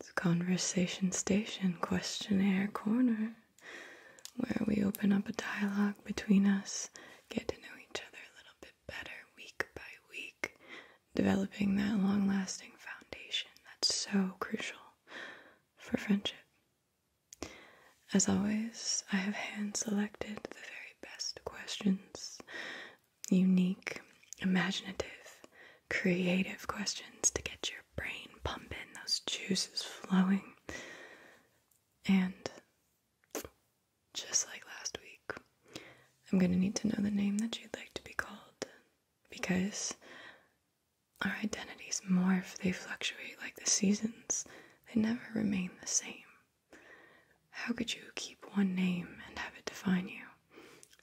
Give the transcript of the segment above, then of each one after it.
It's Conversation Station Questionnaire Corner, where we open up a dialogue between us, get to know each other a little bit better week by week, developing that long lasting foundation that's so crucial for friendship. As always, I have hand selected the very best questions, unique, imaginative, creative questions to get your brain pumping, those juices flowing. And just like last week, I'm going to need to know the name that you'd like to be called because our identities morph, they fluctuate like the seasons, they never remain the same. How could you keep one name and have it define you?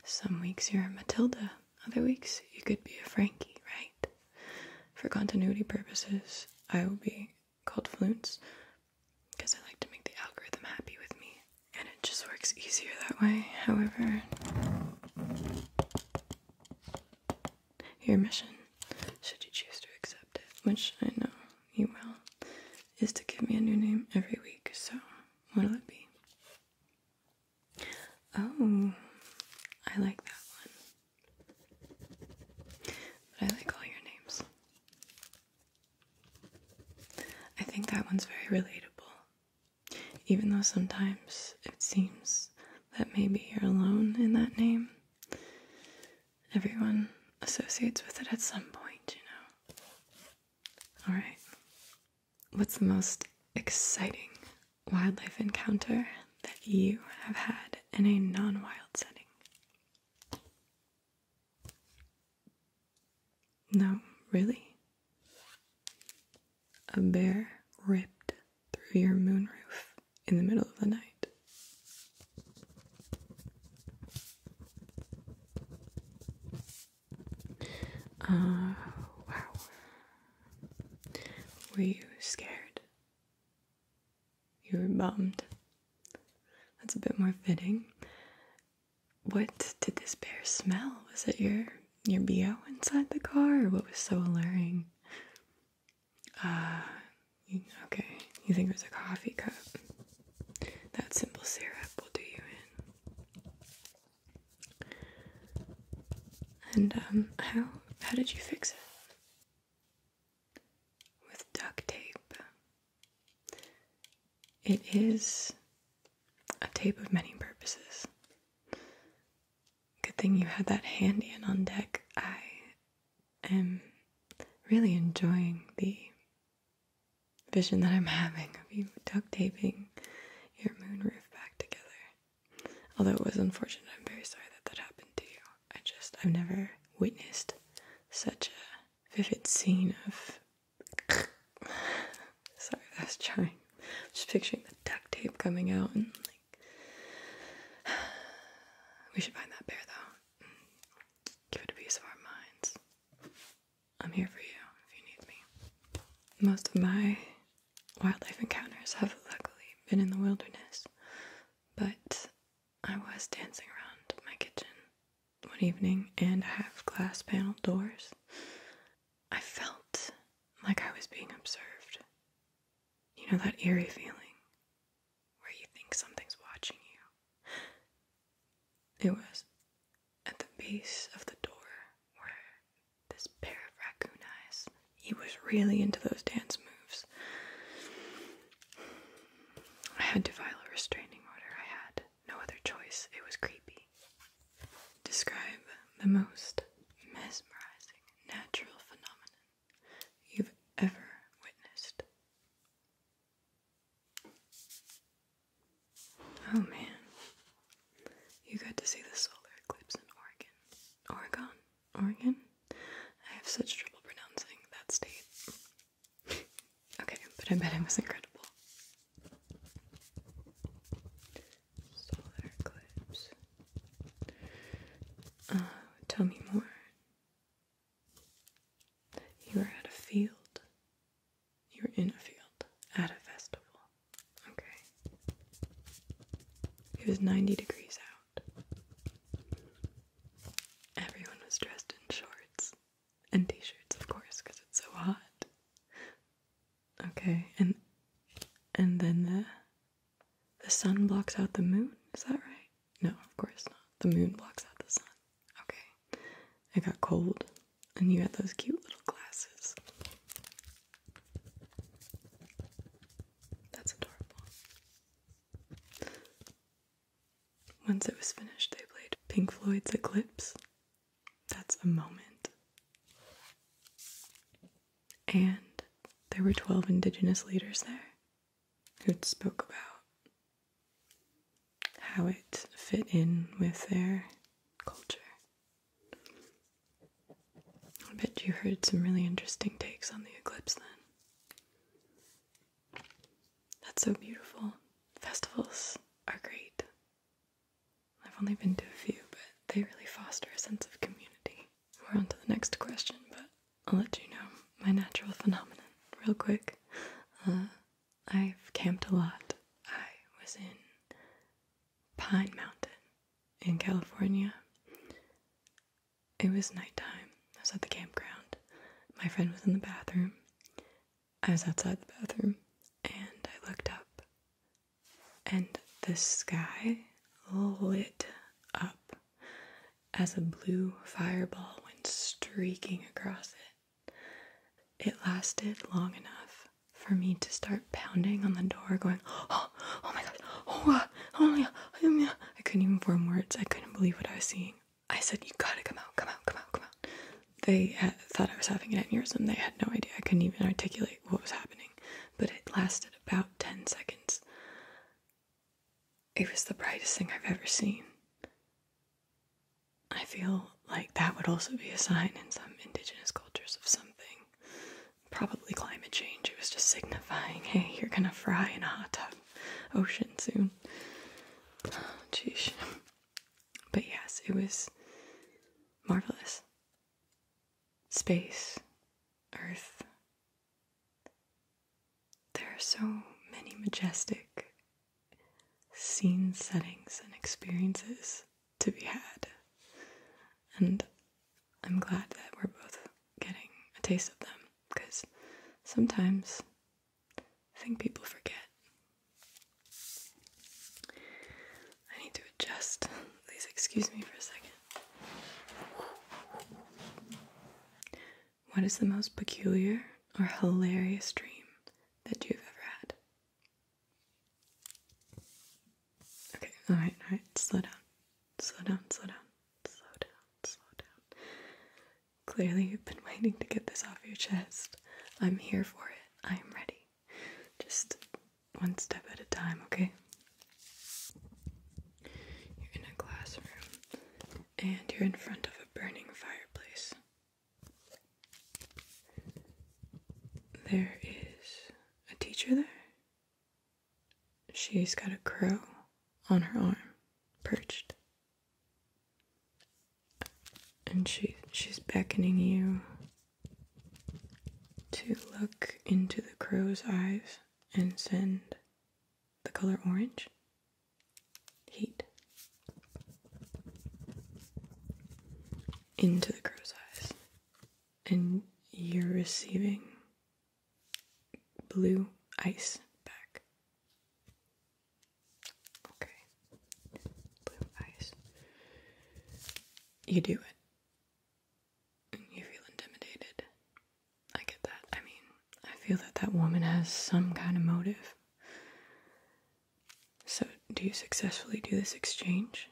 Some weeks you're Matilda, other weeks you could be a Frankie, right? For continuity purposes, I will be called Flutes, because I like to make the algorithm happy with me, and it just works easier that way. However, your mission, should you choose to accept it, which I know you will, is to give me a new name every week, so what'll it be? Oh, I like that one. I like all your names. I think that one's very relatable. Even though sometimes it seems that maybe you're alone in that name, everyone associates with it at some point, you know? Alright. What's the most exciting wildlife encounter that you have had in a non wild setting? No, really? A bear ripped through your moonroof in the middle of the night. Uh, wow. Were you scared? You were bummed. That's a bit more fitting. What did this bear smell? Was it your your BO inside the car, what was so alluring? Uh, okay. You think it was a coffee cup? That simple syrup will do you in. And um, how how did you fix it? With duct tape. It is a tape of many purposes. Good thing you had that handy and on deck. I am really enjoying the vision that I'm having of you duct taping your moon roof back together. Although it was unfortunate, I'm very sorry that that happened to you. I just, I've never witnessed such a vivid scene of. sorry, I was trying. Just picturing the duct tape coming out and like. we should find that bear though. Give it a piece of our minds. I'm here for you if you need me. Most of my wildlife encounters have luckily been in the wilderness, but I was dancing around my kitchen one evening and I have glass panelled doors. I felt like I was being observed. You know that eerie feeling where you think something's watching you? It was at the base of the door were this pair of raccoon eyes. He was really into those dance moves. I had to file a restraining order. I had no other choice. It was creepy. Describe the most mesmerizing natural phenomenon you've ever witnessed. Oh man. You got to see the solar eclipse in Oregon. Oregon? Oregon? I have such trouble pronouncing that state. okay, but I bet it was incredible. Solar eclipse. Uh, tell me more. You were at a field. You're in a field at a festival. Okay. It was 90 degrees out. Everyone was dressed in shorts and t shirts, of course, because it's so hot. Okay, and and then the the sun blocks out the moon, is that right? No, of course not. The moon blocks out the sun. Okay. It got cold. And you had those cute little glasses. That's adorable. Once it was finished, they played Pink Floyd's Eclipse. That's a moment. And there were 12 indigenous leaders there who spoke about how it fit in with their culture. I bet you heard some really interesting takes on the eclipse then. That's so beautiful. Festivals are great. I've only been to a few, but they really foster a sense of community. We're on to the next question, but I'll let you know my natural phenomenon real quick. Uh, I've camped a lot. I was in Pine Mountain in California. It was nighttime. I was at the campground. My friend was in the bathroom. I was outside the bathroom and I looked up, and the sky lit up as a blue fireball went streaking across it. It lasted long enough for me to start pounding on the door, going, oh, oh my god, oh, uh, oh my oh my I couldn't even form words. I couldn't believe what I was seeing. I said, you gotta come out, come out, come out, come out. They thought I was having an aneurysm. They had no idea. I couldn't even articulate what was happening. But it lasted about 10 seconds. It was the brightest thing I've ever seen. I feel like that would also be a sign in some indigenous cultures of something. Probably climate change. It was just signifying, hey, you're gonna fry in a hot tub ocean soon. Oh, But yes, it was marvelous. Space, Earth. There are so many majestic scene settings and experiences to be had. And I'm glad that we're both getting a taste of them because sometimes I think people forget. I need to adjust. Please excuse me for a second. What is the most peculiar or hilarious dream that you've ever had? Okay, alright, alright, slow down. Slow down, slow down, slow down, slow down. Clearly, you've been waiting to get this off your chest. I'm here for it. I am ready. Just one step at a time, okay? You're in a classroom and you're in front of a burning fireplace. There is a teacher there. She's got a crow on her arm, perched. And she she's beckoning you to look into the crow's eyes and send the color orange heat into the crow's eyes, and you're receiving blue ice back. Okay, blue ice. You do it. And you feel intimidated. I get that. I mean, I feel that that woman has some kind of motive. So, do you successfully do this exchange?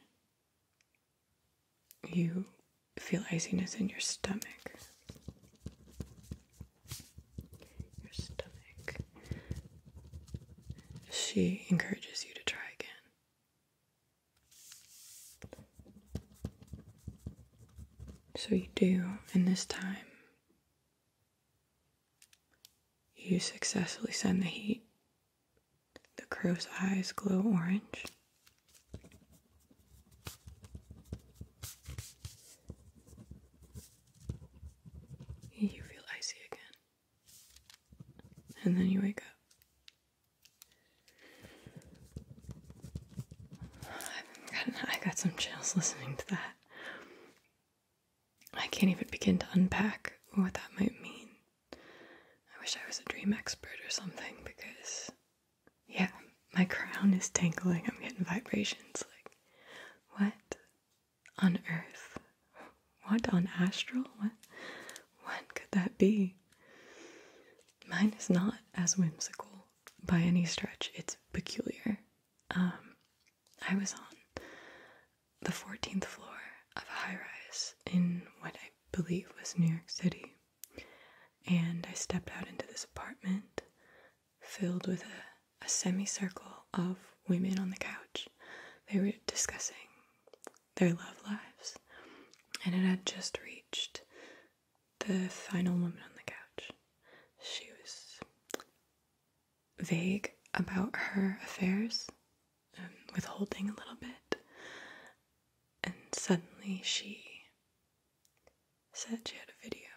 You feel iciness in your stomach. Your stomach. She encourages you to try again. So you do, and this time you successfully send the heat the crow's eyes glow orange. You feel icy again. And then you wake up. I got, got some chills listening to that. I can't even begin to unpack what that might mean. I wish I was a dream expert or something because, yeah, my crown is tangling. I'm getting vibrations. Like, what on earth? What on astral? What, When could that be? Mine is not as whimsical by any stretch. It's peculiar. Um, I was on the 14th floor of a high rise in what I believe was New York City. And I stepped out into this apartment filled with a, a semicircle of women on the couch. They were discussing their love lives, and it had just reached the final woman on the couch. She was vague about her affairs, um, withholding a little bit. And suddenly she said she had a video,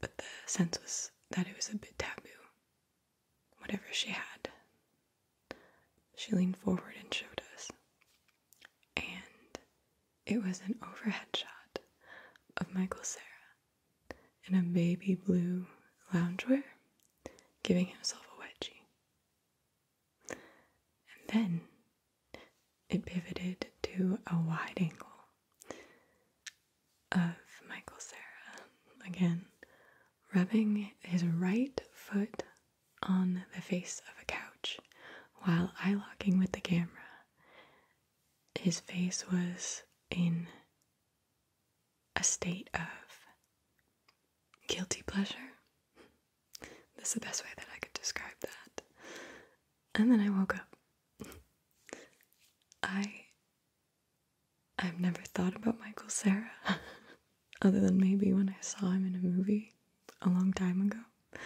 but the sense was that it was a bit taboo, whatever she had. She leaned forward and showed us. And it was an overhead shot of Michael Sarah in a baby blue loungewear, giving himself a wedgie. And then it pivoted to a wide angle of Michael Sarah again, rubbing his right foot on the face of a couch while eye locking with the camera. His face was in a state of guilty pleasure. That's the best way that I could describe that. And then I woke up. I I've never thought about Michael Sarah other than maybe when I saw him in a movie a long time ago.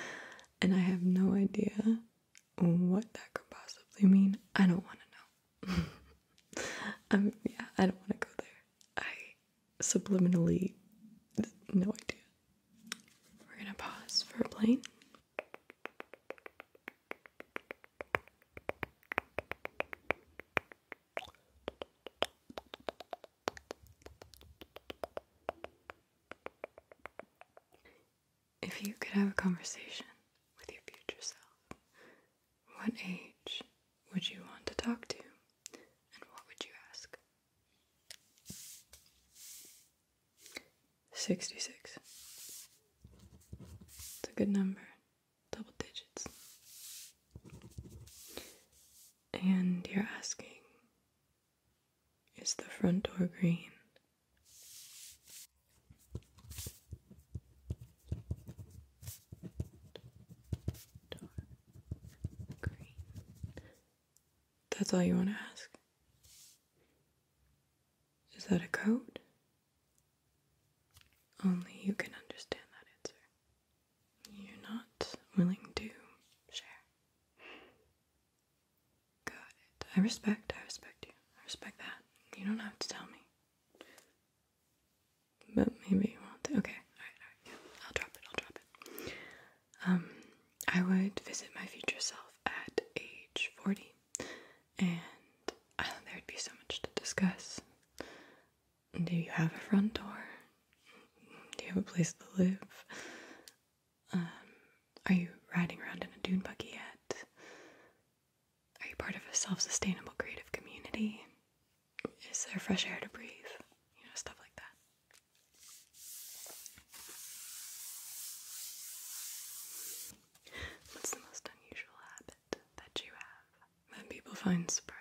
And I have no idea what that could possibly mean. I don't want to know. um, yeah, I don't want to go there. I subliminally, no idea. We're gonna pause for a If you could have a conversation with your future self, what age would you want to talk to, and what would you ask? 66. It's a good number, double digits. And you're asking, is the front door green? That's all you want to ask? Is that a code? Only you can understand that answer. You're not willing to share. Got it. I respect, I respect you. I respect that. You don't have to tell me. But maybe you won't. Okay, alright, alright, I'll drop it, I'll drop it. Um, I would visit my future self at age 40, and I, uh, there'd be so much to discuss. Do you have a front door? Do you have a place to live? Um, are you riding around in a dune buggy yet? Are you part of a self sustainable creative community? Is there fresh air to breathe? You know, stuff like that. What's the most unusual habit that you have that people find surprising?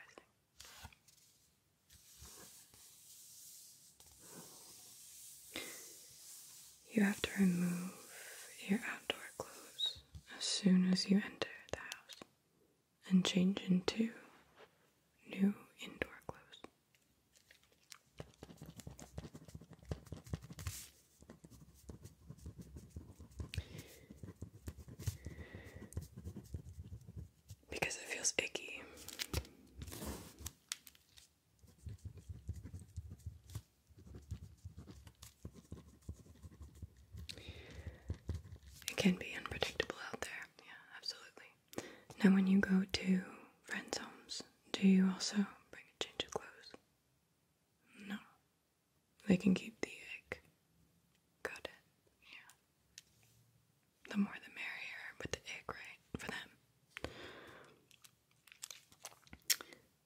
You have to remove your outdoor clothes as soon as you enter the house and change into new indoor clothes. Because it feels icky. It can be unpredictable out there, yeah, absolutely. Now, when you go to friends' homes, do you also bring a change of clothes? No. They can keep the egg. Got yeah. The more the merrier with the egg, right? For them.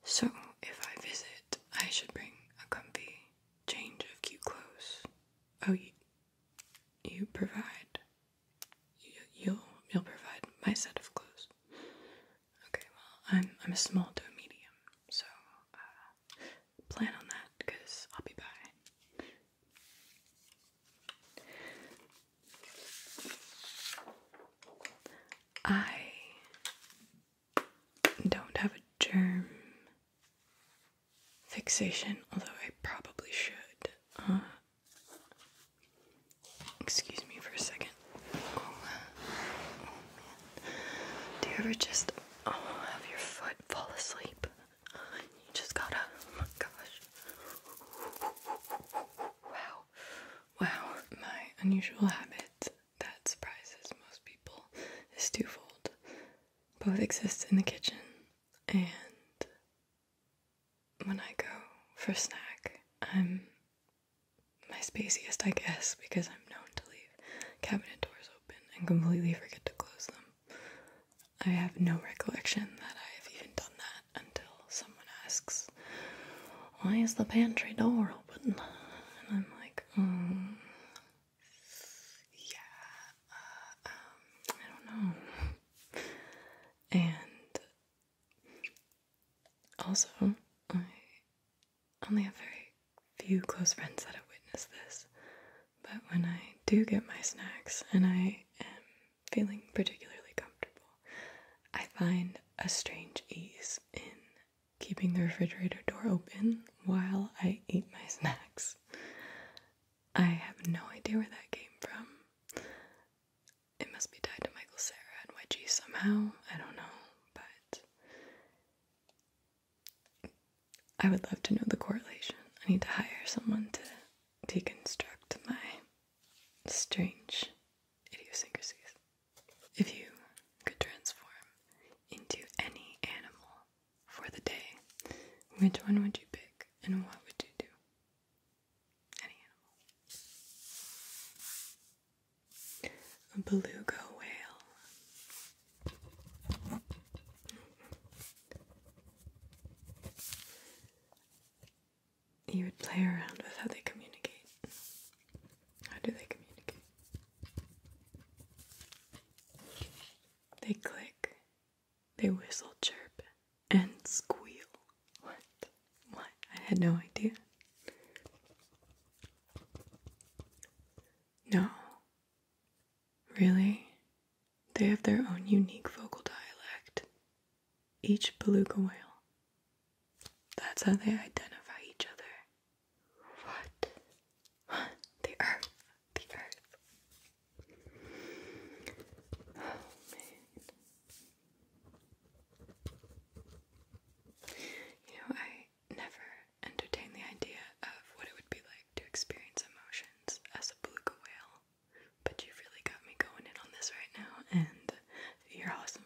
So, if I visit, I should bring a comfy change of cute clothes. Oh, you, provide. You, you'll you'll provide my set of clothes. Okay, well, I'm I'm a small to a medium, so uh, plan on that because I'll be by. I don't have a germ fixation, although I probably should. Uh, excuse me for a second. Oh, oh, Do you ever just oh, have your foot fall asleep? You just gotta. Oh my gosh. Wow. Wow. My unusual habit that surprises most people is twofold. Both exist in the kitchen, and when I go for snack, I'm my spaciest, I guess, because I'm known to leave cabinet doors open and completely forget to close them. I have no recollection that I've even done that until someone asks, Why is the pantry door open? And I'm like, like, um, yeah, uh, um, I don't know. And also, I only have very few close friends that have witnessed this, but when I do get my snacks and I am feeling particularly comfortable, I find a strange ease in keeping the refrigerator door open while I eat my snacks. I have no idea where that came from. It must be tied to Michael Sarah and Wedgie somehow. I don't know, but I would love to know the correlation. I need to hire someone to deconstruct my strange idiosyncrasies. If you could transform into any animal for the day, which one would you pick and what would you do? Any animal. A beluga whale. You would play around with how they communicate. How do they communicate? They click, they whistle, chirp, and squeal. What? What? I had no idea. No. Really? They have their own unique vocal dialect. Each beluga whale. That's how they identify each other. What? the earth. The earth. Oh, you know, I never entertained the idea of what it would be like to experience emotions as a beluga whale. But you've really got me going in on this right now, and you're awesome.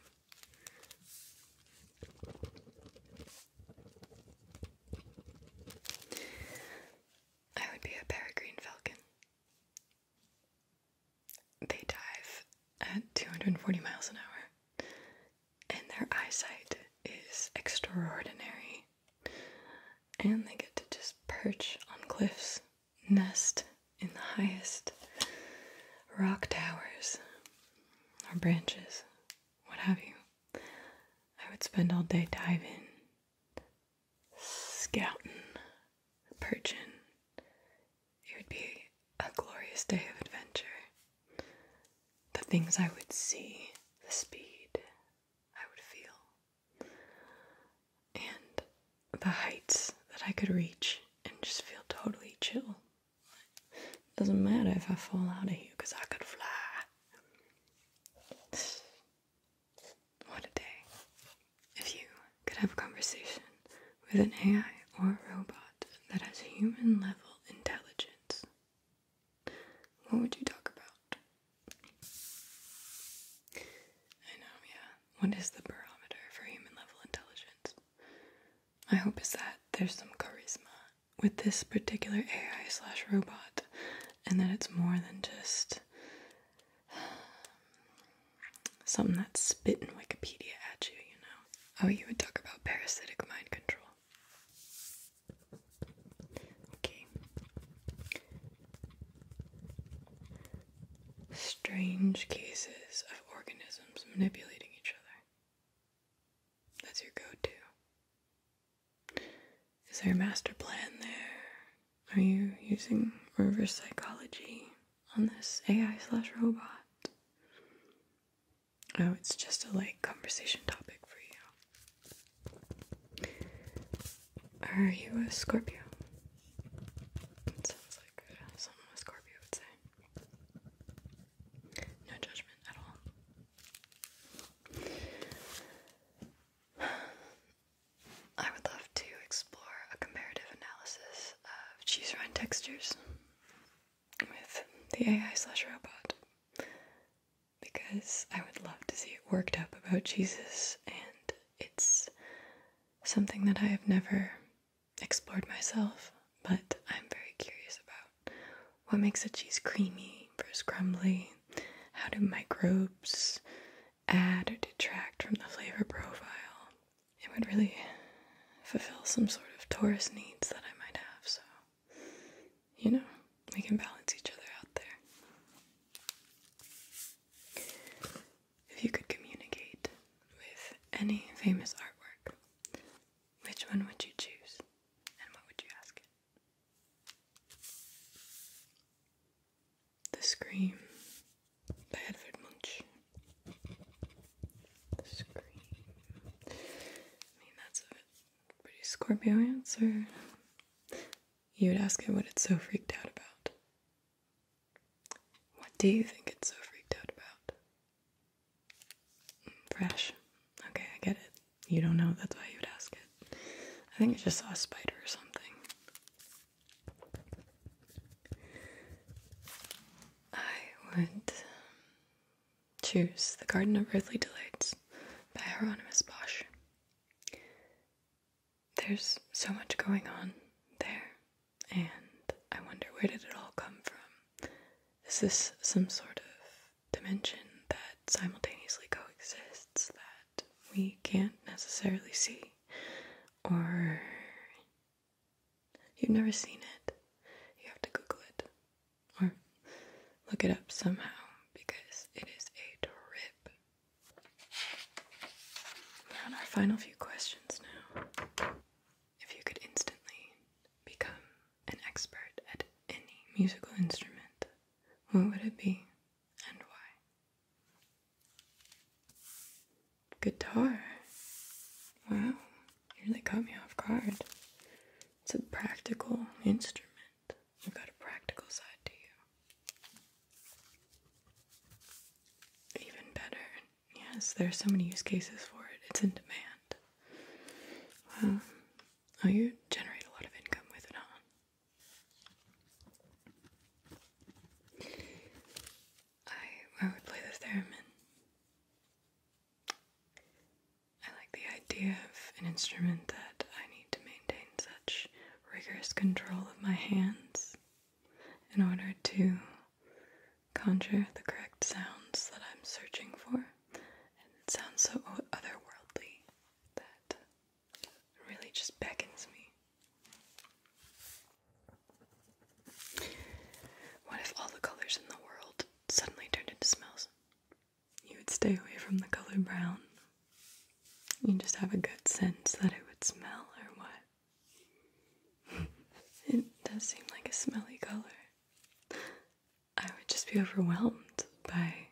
I would be a peregrine falcon. They dive at 240 miles an hour, and their eyesight is extraordinary. And they get to just perch on cliffs, nest in the highest rock towers or branches what have you. I would spend all day diving, scouting, perching. It would be a glorious day of adventure. The things I would see, the speed I would feel, and the heights that I could reach and just feel totally chill doesn't matter if I fall out of here because I could fly. What a day. If you could have a conversation with an AI or a robot that has human level intelligence, what would you talk about? I know, yeah. What is the barometer for human level intelligence? I hope is that there's some charisma with this particular AI slash robot, and that it's more than just um, something that's spitting Wikipedia at you, you know? Oh, you would talk about parasitic mind control. Strange cases of organisms manipulating each other. That's your go-to. Is there a master plan there? Are you using reverse psychology on this AI slash robot? Oh, it's just a like conversation topic for you. Are you a Scorpio? It sounds like uh, something a Scorpio would say. No judgment at all. I would love to explore a comparative analysis of cheese rind textures with the AI slash robot because I would love to see it worked up about cheeses, and it's something that I have never explored myself but I'm very curious about what makes a cheese creamy versus crumbly. How do microbes add or detract from the flavor profile? It would really fulfill some sort of tourist needs that I might have, so you know, we can balance each other out there. If you could communicate with any famous artwork, which one would you choose and what would you ask it? The Scream by Edvard Munch. The Scream. I mean, that's a pretty Scorpio answer. You would ask it what it's so freaked out about. What do you think it's so freaked out about? Fresh. Okay, I get it. You don't know, that's why you'd ask it. I think I just saw a spider or something. I would choose The Garden of Earthly Delights by Hieronymus Bosch. There's so much going on there, and I wonder where did it all come from? Is this some sort of dimension that simultaneously coexists that we can't necessarily see? Or you've never seen it? You have to Google it or look it up somehow because it is a trip. We're on our final few questions now. If you could instantly become an expert at any musical instrument, what would it be and why? Guitar. Wow, you really caught me off guard. It's a practical instrument. You've got a practical side to you. Even better. Yes, there are so many use cases for it. It's in demand. Well, oh, you generate a lot of income with it, huh? I I would play the theremin. I like the idea of an instrument that I need to maintain such rigorous control of my hands in order to conjure the correct sounds that I'm searching for. And it sounds so otherworldly that really just beckons me. What if all the colors in the world suddenly turned into smells? You would stay away from the color brown. You just have a good sense that it would smell or what. it does seem like a smelly color. I would just be overwhelmed by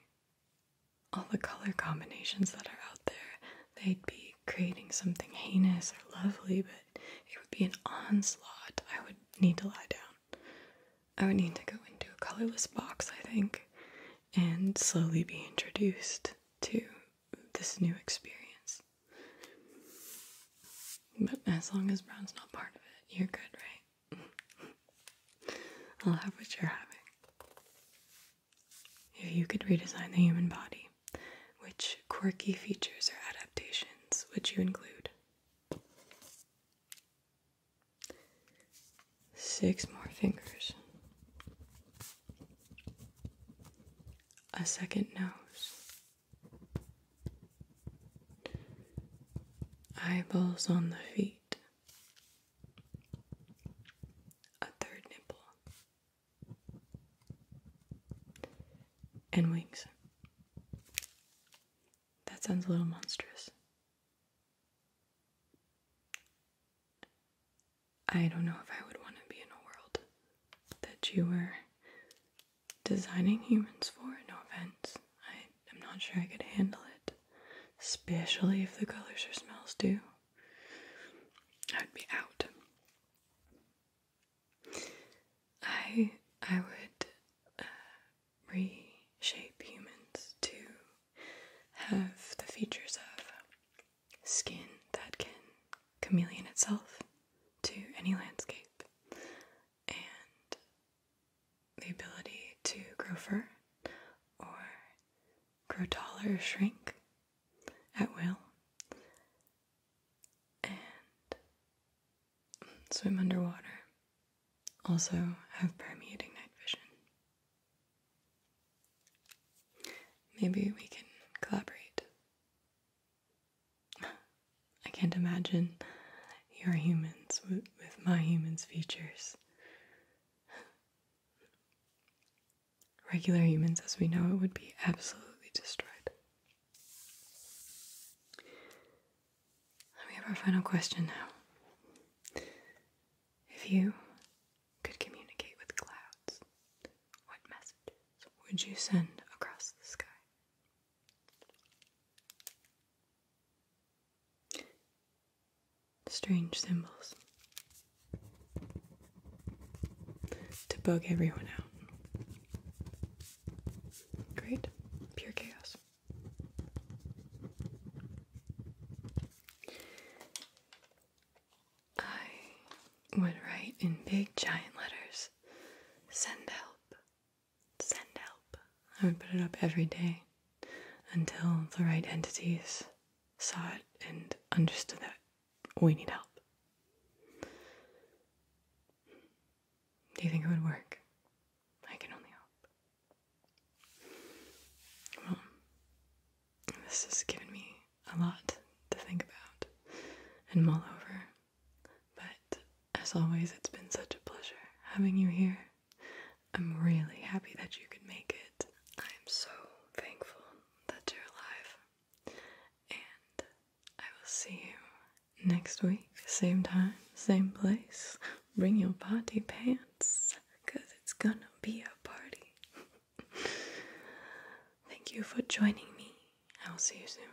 all the color combinations that are out there. They'd be creating something heinous or lovely, but it would be an onslaught. I would need to lie down. I would need to go into a colorless box, I think, and slowly be introduced to this new experience. But as long as brown's not part of it, you're good, right? I'll have what you're having. If you could redesign the human body, which quirky features or adaptations would you include? Six more fingers. A second nose. Eyeballs on the feet. A third nipple. And wings. That sounds a little monstrous. I don't know if I would want to be in a world that you were designing humans for. No offense, I am not sure I could handle it, especially if the colors or smells do. I would be out. I I would uh, reshape humans to have the features of skin that can chameleon itself to any landscape and the ability to grow fur or grow taller or shrink at will, and swim underwater. Also, have permeating night vision. Maybe we can collaborate I can't imagine your humans with, my humans' features. Regular humans, as we know it, would be absolutely destroyed. We have our final question now. If you could communicate with clouds, what messages would you send across the sky? Strange symbols to bug everyone out. Great, pure chaos. I would write in big giant letters send help, Send help. I would put it up every day until the right entities saw it and understood that we need help. Do you think it would work? I can only hope. Well, this has given me a lot to think about and mull over. But as always, it's been such a pleasure having you here. I'm really happy that you could make it. I'm so thankful that you're alive. And I will see you next week. Same time, same place. Bring your party pants, because it's gonna be a party. Thank you for joining me. I will see you soon.